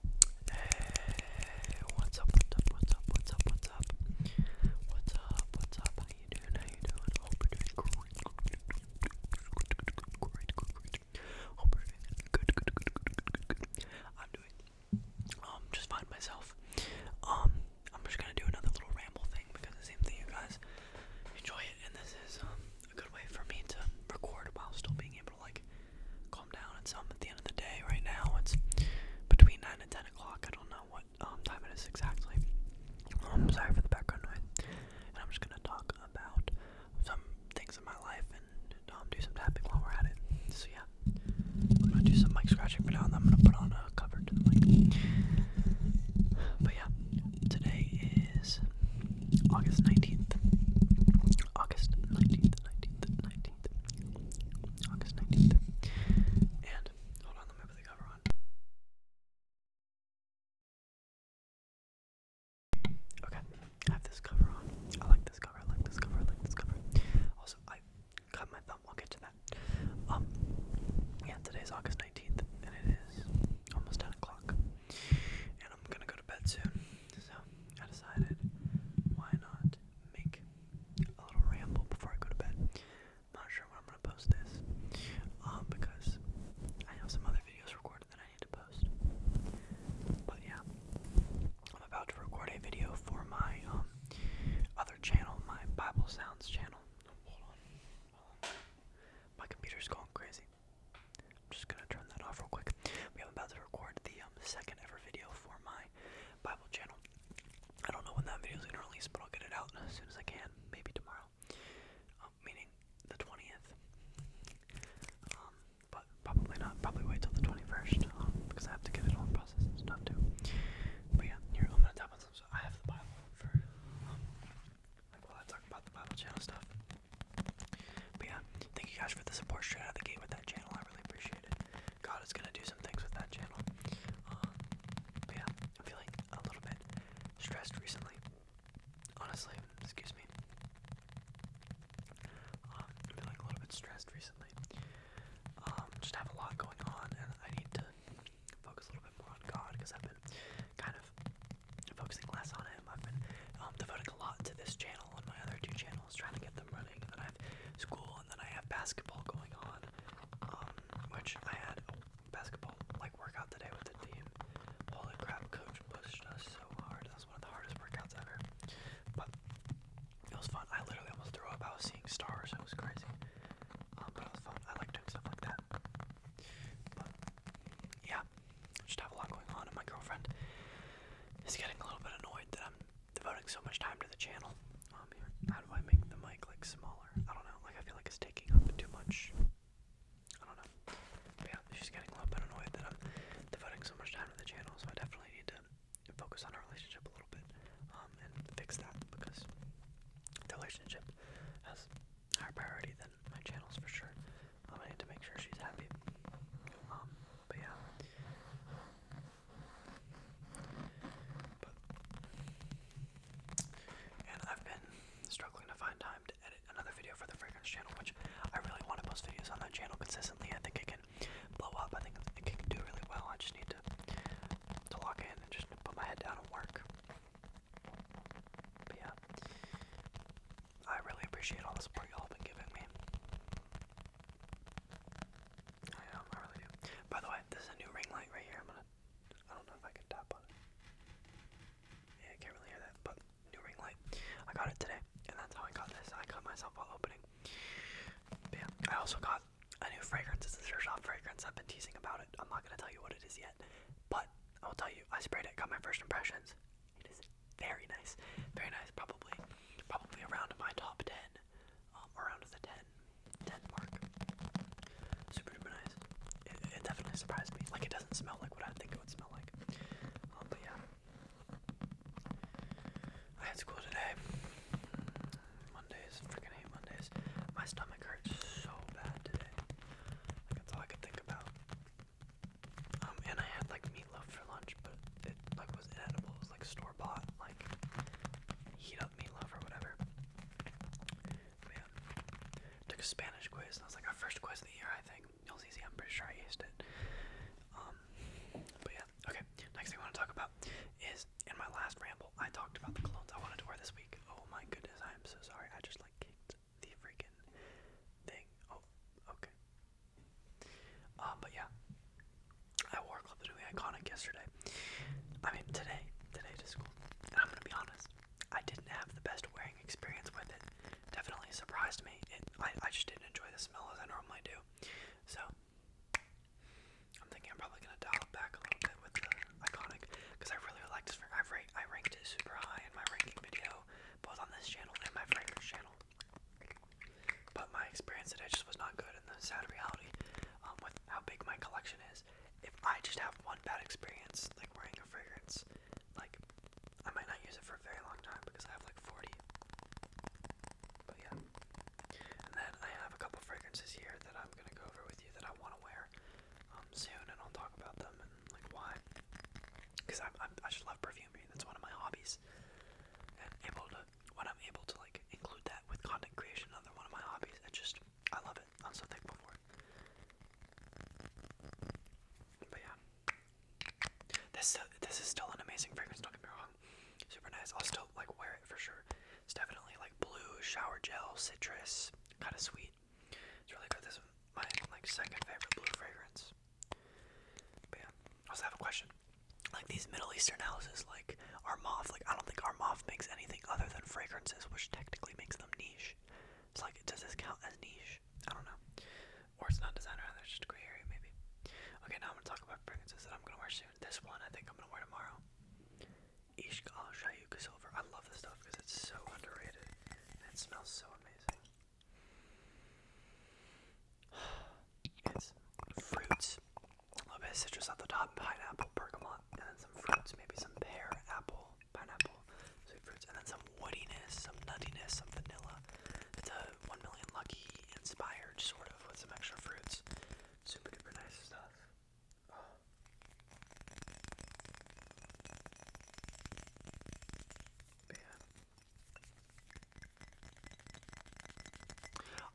Hey, what's up, what's up, what's up, what's up, what's up? What's up, what's up? How you doing? How you doing? Hope you're doing great. Great, great, great. Hope you're doing good, good, good, good, good, good, good. I'm doing um just fine myself. Um, I'm just gonna do another little ramble thing because it seems that you guys enjoy it and this is um a good way for me to record while still being able like calm down and some at the end of the day. Right now it's between nine and ten o'clock. I don't know what um, time it is exactly. I'm um, sorry for the background noise. And I'm just gonna talk about some things in my life and um, do some tapping while we're at it. So yeah, I'm gonna do some mic scratching for now, and I'm gonna put on a cover to the mic. But yeah, today is August 19th. August 19th, 19th, 19th. 19th. August 19th. And, hold on, let me put the cover on. Okay, I have this cover on. I like this cover, I like this cover, I like this cover. Also, I cut my thumb, we'll get to that. Um, yeah, today's August 19th, and it is almost 10 o'clock. And I'm gonna go to bed soon. So I decided why not make a little ramble before I go to bed. am not sure when I'm gonna post this. Um, because I have some other videos recorded that I need to post. But yeah. I'm about to record a video for my um other channel, my Bible Sounds channel. My computer's going crazy just gonna turn that off real quick. We am about to record the um, second ever video for my Bible channel. I don't know when that video is gonna release, but I'll get it out as soon as I can, maybe tomorrow. Um, meaning the 20th. Um, but probably not. Probably wait till the 21st because I have to get it all processed and stuff too. But yeah, here I'm gonna tap on So I have the Bible for like while I talk about the Bible channel stuff. But yeah, thank you guys for the support straight out of the gate with that channel. I really appreciate it. God is gonna do some things with that channel. Um, but yeah, I'm feeling a little bit stressed recently. Honestly, excuse me. Um, I'm feeling a little bit stressed recently. Um, just have a lot going on, and I need to focus a little bit more on God because I've been kind of focusing less on Him. I've been um, devoting a lot to this channel and my other two channels. I was trying to get them running. And then I have school, and then I have basketball going on, um, which I had a basketball like workout today with the team. Holy crap, coach pushed us so hard. That was one of the hardest workouts ever. But it was fun. I literally almost threw up. I was seeing stars. It was crazy. Um, but it was fun. I like doing stuff like that. But yeah, just have a lot going on, and my girlfriend is getting a little bit annoyed that I'm devoting so much time to the channel. Um, here, how do I make the mic like smaller? I don't know. Like I feel like it's taking up too much. I don't know. yeah, she's getting a little bit annoyed that I'm devoting so much time to the channel, so I definitely need to focus on our relationship a little bit um, and fix that because the relationship has higher priority than my channels for sure. Um, I need to make sure she's happy but yeah. and I've been struggling to find time to edit another video for the fragrance channel, which I really want to post videos on that channel consistently. I think it can blow up. I think it can do really well. I just need to to log in and just put my head down and work. yeah, I really appreciate all the support y'all have been giving me. Oh, I By the way, this is a new ring light right here. I'm gonna, I don't know if I can tap on it. Yeah, I can't really hear that, but new ring light. I got it today, and that's how I got this. I cut myself while opening. yeah, I also got a new fragrance. It's a Sure Shop fragrance. I've been teasing about it. I'm not gonna tell you what it is yet, but I'll tell you. I sprayed it, got my first impressions. It is very nice, very nice. Probably, probably around my top ten, um, around the 10, mark. Super duper nice. It, it definitely surprised me. Like it doesn't smell like what I think it would smell like. Um, but yeah, I had school today. Mondays, freaking hate Mondays. My stomach hurts so bad today. that's all I could think about. Um, and I had like meatloaf for lunch, but it like was inedible. It was like store bought, like heat meatloaf or whatever. yeah, took a Spanish quiz, and was like our first quiz of the year, I think. It was easy. I'm pretty sure I aced it. Um, but yeah, okay. Next thing I want to talk about is in my last ramble, I talked about the colognes I wanted to wear this week. Oh my goodness, I am so sorry. I just like kicked the freaking thing. Oh, okay. Uh, but yeah, I wore Club the Newly Iconic yesterday. I mean, today, today to school. And I'm gonna be honest, I didn't have the best wearing experience with it. Definitely surprised me. I, I just didn't enjoy the smell as I normally do. So, I'm thinking I'm probably gonna dial it back a little bit with the Iconic, because I really like this. I, ra I ranked it super high in my ranking video, both on this channel and my friend's channel. But my experience today just was not good, and the sad reality um, with how big my collection is, if I just have one bad experience, like wearing a fragrance, like I might not use it for a very long time because I have like 40. But yeah. And then I have a couple fragrances here that I'm gonna go over with you that I want to wear um, soon, and I'll talk about them and like why. Because I, I just love perfuming. That's one of my hobbies able to when I'm able to like include that with content creation, another one of my hobbies, I just I love it. I'm so thankful for it. But yeah. This uh, this is still an amazing fragrance, don't get me wrong. Super nice. I'll still like wear it for sure. It's definitely like blue shower gel, citrus, kinda sweet. It's really good. This is my like second favorite blue fragrance. But yeah. I also have a question. Like these Middle Eastern houses, like Armaf, like I don't think Armaf makes anything other than fragrances, which technically makes them niche. It's like, does this count as niche? I don't know. Or it's not designer, there's just a gray area maybe. Okay, now I'm gonna talk about fragrances that I'm gonna wear soon. This one I think I'm gonna wear tomorrow. Ishq al Shayuka Silver. I love this stuff because it's so underrated and it smells so amazing. It's fruits, a little bit of citrus at the top, pineapple, bergamot, and then some fruits, maybe some pear, apple, pineapple, sweet fruits, and then some woodiness, some nuttiness, some vanilla. It's a 1 million lucky inspired sort of with some extra fruits. Super duper nice stuff. Oh.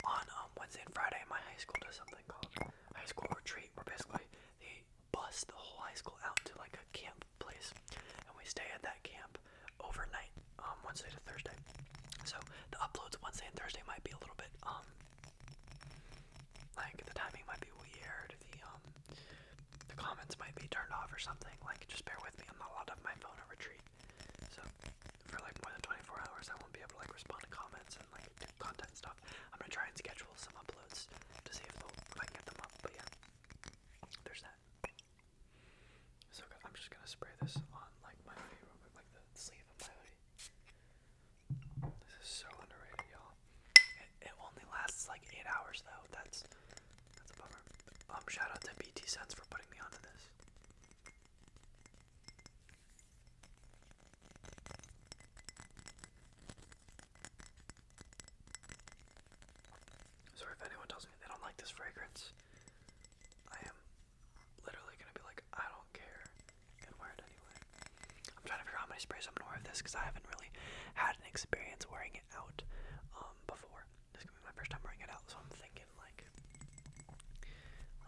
On um, Wednesday and Friday, my high school does something called high school retreat, where basically they bus the whole high school out to like a camp place, and we stay at that camp overnight, um, Wednesday to Thursday. So the uploads Wednesday and Thursday might be a little bit um, like the timing might be weird. The um, the comments might be turned off or something. Like, just bear with me. I'm not allowed to my phone at retreat. So for like more than 24 hours, I won't be able to like respond to comments and like do content stuff. I'm gonna try and schedule some uploads to see if, I can get them up. But yeah, there's that. So I'm just gonna spray this on like my like the sleeve of my hoodie. This is so underrated, y'all. it only lasts like eight hours though. That's that's a bummer. Um, shout out to BT Sense for putting me onto this. So if anyone tells me they don't like this fragrance, I am literally gonna be like, I don't care, and wear it anyway. I'm trying to figure how many sprays I'm gonna wear of this because I haven't really had an experience wearing it out um, before. This gonna be my first time wearing it out, so I'm thinking like,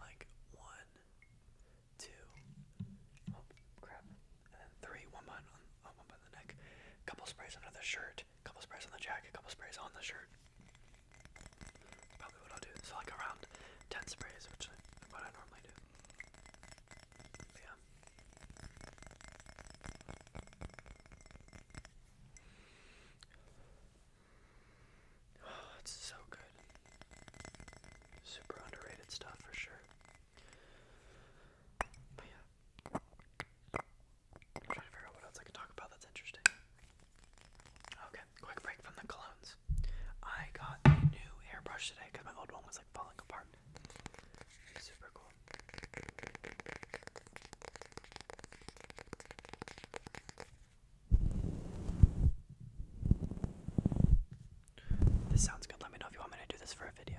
like one, two, oh crap, and then three, one on, oh, one behind the neck, couple sprays under the shirt, couple sprays on the jacket, couple sprays on the shirt. Probably what I'll do. So like around ten sprays, which is what I normally do. yeah. Oh, it's so good. Super underrated stuff for sure. yeah. trying to figure out what else I can talk about that's interesting. Okay, quick break from the colognes. I got a new airbrush today because my old one was like falling apart. Super cool. This sounds good. Let me know if you want me to do this for a video.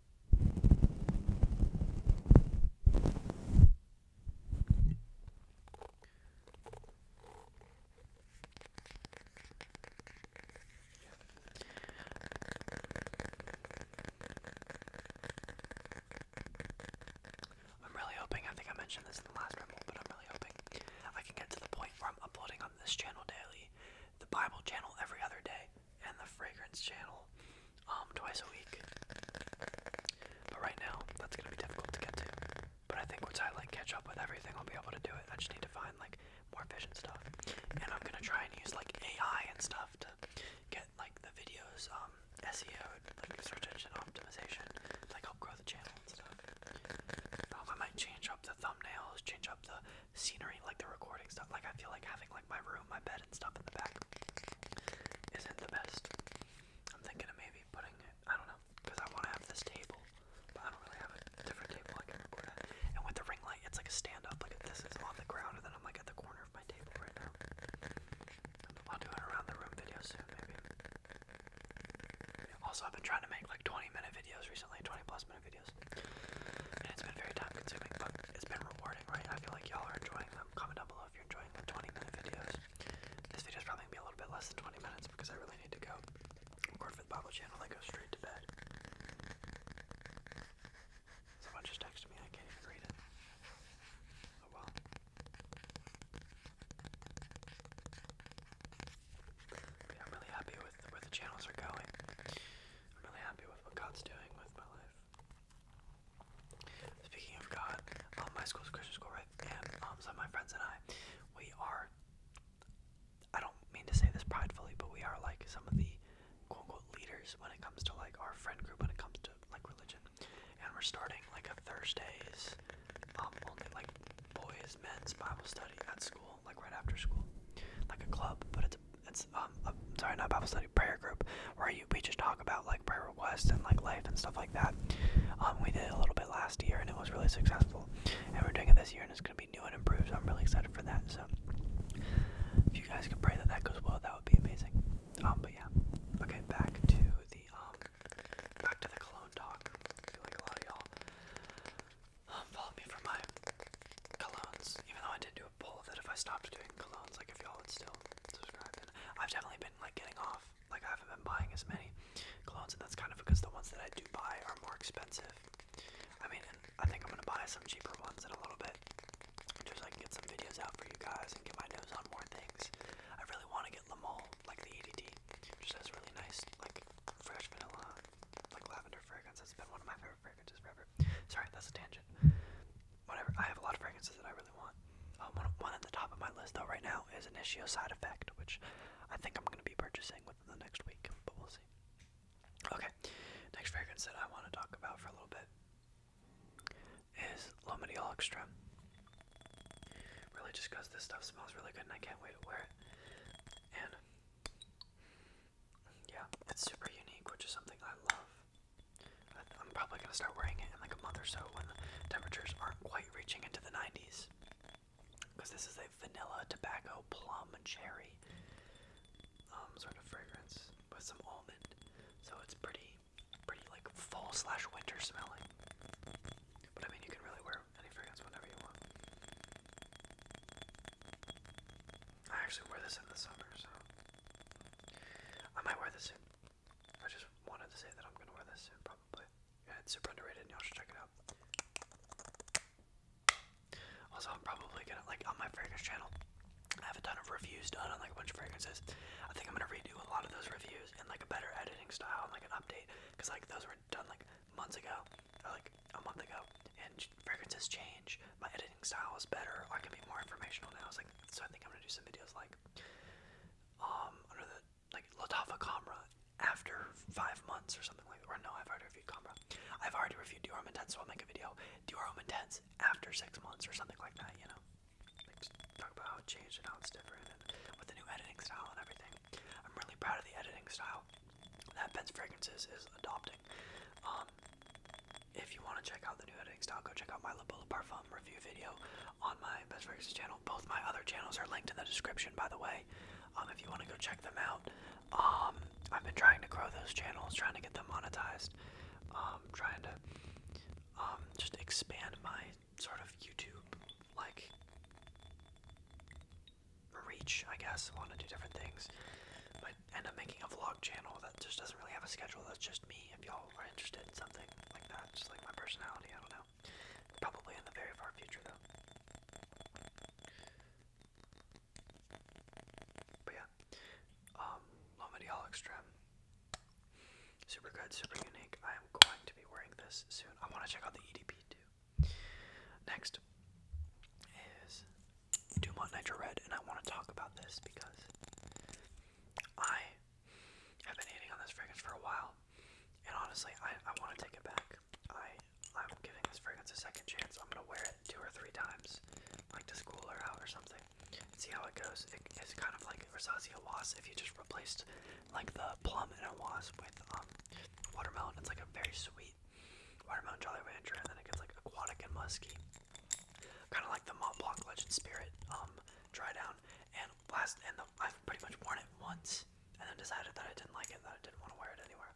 I'm really hoping, I think I mentioned this in the last ramble, but I'm really hoping I can get to the point where I'm uploading on this channel daily, the Bible channel every other day, and the fragrance channel um, twice a week. But right now, that's gonna be difficult to get to. But I think once I like catch up with everything, I'll be able to do it. I just need to find like more efficient stuff, and I'm gonna try and use like AI and stuff to get like the videos, um, SEO, like search engine optimization, like help grow the channel and stuff. Um, I might change up the thumbnails, change up the scenery, like the recording stuff. Like I feel like having like my room, my bed, and stuff in the back isn't the best. I'm thinking of maybe putting it. I don't know, because I want to have this table, but I don't really have a different table I can record at. And with the ring light, it's like a stand up. Like if this is on the ground, and then I'm like at the corner of my table right now. I'll do an around the room video soon, maybe. Also, I've been trying to make like 20 minute videos recently, 20 plus minute videos. And it's been very time consuming, but it's been rewarding, right? I feel like y'all are enjoying them. Comment down below if you're enjoying the 20 minute videos. This video's probably gonna be a little bit less than 20 minutes because I really need to go record for the Bible channel and go straight to bed. Someone just texted me, I can't even read it. Oh well. I'm really happy with where the channels are going. I'm really happy with what God's doing with my life. Speaking of God, um, my school's a Christian school, right? And um, some of my friends and I, we are, I don't mean to say this pridefully, but we are like some of the quote unquote leaders when it comes to like our friend group, when it comes to like religion. And we're starting like a Thursdays, um, like boys, men's Bible study at school, like right after school. Like a club, but it's it's um a, sorry not Bible study prayer group where you we just talk about like prayer requests and like life and stuff like that. Um, we did a little bit last year and it was really successful, and we're doing it this year and it's gonna be new and improved. So I'm really excited for that. So if you guys can pray that that goes well, that would be amazing. Um, but yeah, okay, back to the um, back to the cologne talk. I feel y'all follow me for my colognes. Even though I did do a poll that if I stopped doing colognes, like if y'all still subscribe, then I've definitely been like getting off. Like I haven't been buying as many colognes, and that's kind of because the ones that I do buy are more expensive. I mean, I think I'm gonna buy some cheaper ones in a little bit, just so I get some videos out for you guys and get my nose on more things. I really want to get Le Male, like the EDT, which has really nice, like fresh vanilla, like lavender fragrance. That's been one of my favorites favorite fragrances forever. Sorry, that's a tangent. Whatever. I have a lot of fragrances that I really want. Um, one, one at the top of my list though right now is Initio Side Effect, which I think I'm gonna be purchasing within the next week, but we'll see. Okay, next fragrance that I want to talk about for a little bit is Lomadiol Extra. Really, just because this stuff smells really good and I can't wait to wear it. And yeah, it's super unique, which is something I love. I'm probably gonna start wearing it in like a month or so when the temperatures aren't quite reaching into the 90s. Because this is a vanilla, tobacco, plum, cherry um, sort of fragrance with some almond. So it's pretty, pretty like fall slash winter smelling. But I mean, you can really wear any fragrance whenever you want. I actually wear this in the summer, so I might wear this in. I just wanted to say that I'm gonna wear this in probably. Yeah, it's super underrated, and y'all should check it out. Also, I'm probably gonna like on my fragrance channel. I have a ton of reviews done on like a bunch of fragrances. I think I'm gonna redo a lot of those reviews in like a better editing style and like an update, cause like those were done like months ago, like a month ago, and fragrances change. My editing style is better. I can be more informational now. so I think I'm gonna do some videos like, um, under the like Latafa Camra after five months or something like. Or no, I've already reviewed Camra. I've already reviewed Dior Homme Intense, so I'll make a video Dior Homme Intense after six months or something like that. You know, talk about how it changed and how it's different and with the new editing style and everything. I'm really proud of the editing style that Ben's Fragrances is adopting. Um, if you want to check out the new editing style, go check out my La Bola Parfum review video on my Ben's Fragrances channel. Both my other channels are linked in the description, by the way, um, if you want to go check them out. Um, I've been trying to grow those channels, trying to get them monetized, trying to just expand my sort of YouTube like reach, I guess. I want to do different things would end up making a vlog channel that just doesn't really have a schedule. That's just me. If y'all are interested in something like that, just like my personality, I don't know. Probably in the very far future, though. But yeah, um, Lomadial Extreme. Super good, super unique. I am going to be wearing this soon. I want to check out the EDP too. Next is Dumont Nitro Red, and I want to talk about this because I have been hating on this fragrance for a while, and honestly, I, I want to take it back. I, I'm giving this fragrance a second chance. I'm going to wear it two or three times, like to school or out or something, see how it goes. it's kind of like Rosasia Wasp if you just replaced like the plum in a wasp with um, watermelon. It's like a very sweet Watermelon Jolly Rancher, and then it gets like aquatic and musky. Kind of like the Mont Blanc Legend Spirit um, dry down. And last, and the, I've pretty much worn it once, and then decided that I didn't like it, that I didn't want to wear it anywhere.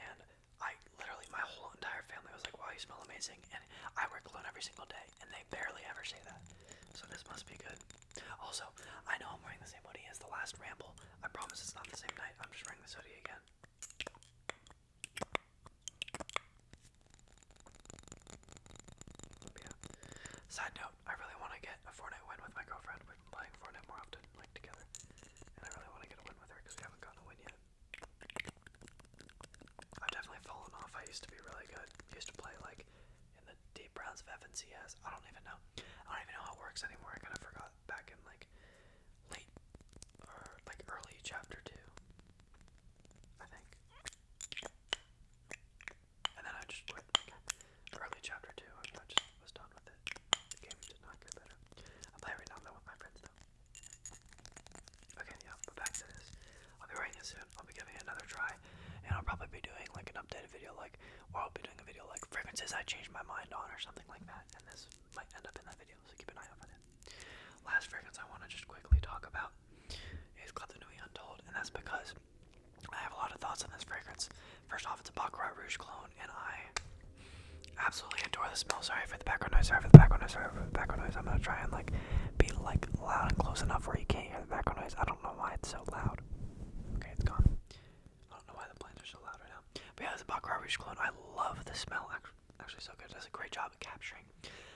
And I literally, my whole entire family was like, "Wow, you smell amazing!" And I wear cologne every single day, and they barely ever say that. So this must be good. Also, I know I'm wearing the same hoodie as the last ramble. I promise it's not the same night. I'm just wearing this hoodie again. Side note, I really want to get a Fortnite win with my girlfriend. We've playing Fortnite more often, like together. And I really want to get a win with her because we haven't gotten a win yet. I've definitely fallen off. I used to be really good. I used to play like in the deep rounds of FNCS. I don't even know. I don't even know how it works anymore. I kind of forgot back in like late or like early chapter two, I think. And then I just Early chapter two, I, mean, I just was done with it. The game did not get better. I'm playing right now though with my friends though. Okay, yeah, but back to this. I'll be writing it soon. I'll be giving another try, and I'll probably be doing like an updated video, like, or I'll be doing a video like fragrances I changed my mind on or something like that, and this might end up in that video. Last fragrance I want to just quickly talk about is Club de Nuit Untold, and that's because I have a lot of thoughts on this fragrance. First off, it's a Baccarat Rouge clone, and I absolutely adore the smell. Sorry for the background noise, sorry for the background noise, sorry for the background noise. I'm gonna try and like be like loud and close enough where you can't hear the background noise. I don't know why it's so loud. Okay, it's gone. I don't know why the plants are so loud right now. But yeah, it's a Baccarat Rouge clone. I love the smell actually actually so good. It does a great job at capturing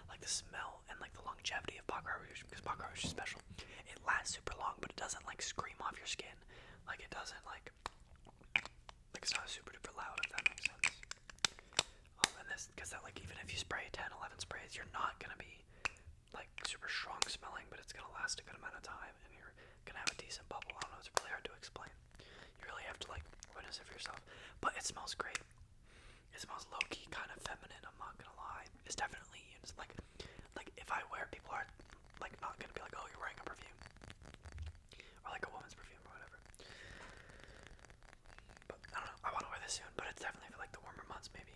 like the smell and like the longevity of pot garbage because pot garbage is special. It lasts super long, but it doesn't like scream off your skin. Like it doesn't like like it's not super duper loud if that makes sense. Um, and this because that like even if you spray 10, 11 sprays, you're not gonna be like super strong smelling, but it's gonna last a good amount of time, and you're gonna have a decent bubble. I don't know. It's really hard to explain. You really have to like witness it for yourself. But it smells great. It smells low key, kind of feminine. I'm not gonna lie. It's definitely it's like like if I wear, people are like not gonna be like, oh, you're wearing a perfume or like a woman's perfume or whatever. But I don't know. I want to wear this soon, but it's definitely for like the warmer months, maybe.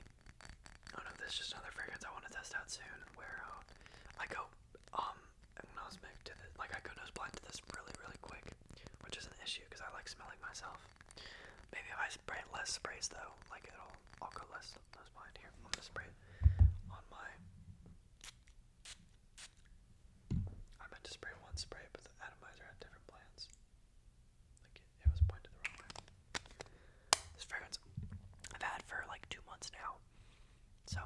I don't know. This is just another fragrance I want to test out soon. Where uh, I go um, I go nose to this really, really quick, which is an issue because I like smelling myself. Maybe if I spray less sprays though, like it'll, I'll go less nose here. I'm gonna spray on my. I meant to spray one spray, but the atomizer had different plans. Like it was pointed the wrong way. This fragrance I've had for like two months now, so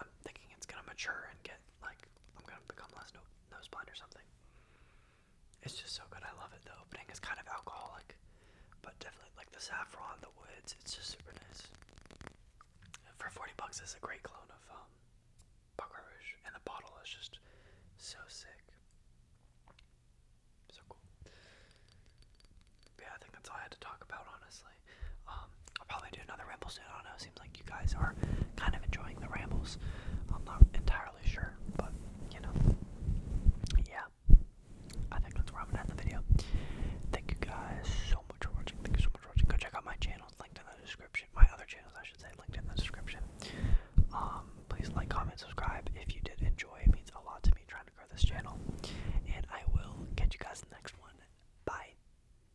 I'm thinking it's gonna mature and get like I'm gonna become less no or something. It's just so good. I love it. The opening is kind of alcoholic, but definitely like the saffron, the woods. It's just super nice. For forty bucks, it's a great clone of um, Baccarat and the bottle is just so sick. So cool. yeah, I think that's all I had to talk about, honestly. Um, I'll probably do another ramble soon. I don't know. It seems like you guys are kind of enjoying the rambles. I'm not entirely sure, but you know, yeah. I think that's where I'm gonna end the video. Thank you guys so much for watching. Thank you so much for watching. Go check out my channel. linked in the description. My other channels, I should say, linked in the description. Um, please like, comment, subscribe if you did enjoy. It means a lot to me trying to grow this channel. And I will catch you guys next one. Bye.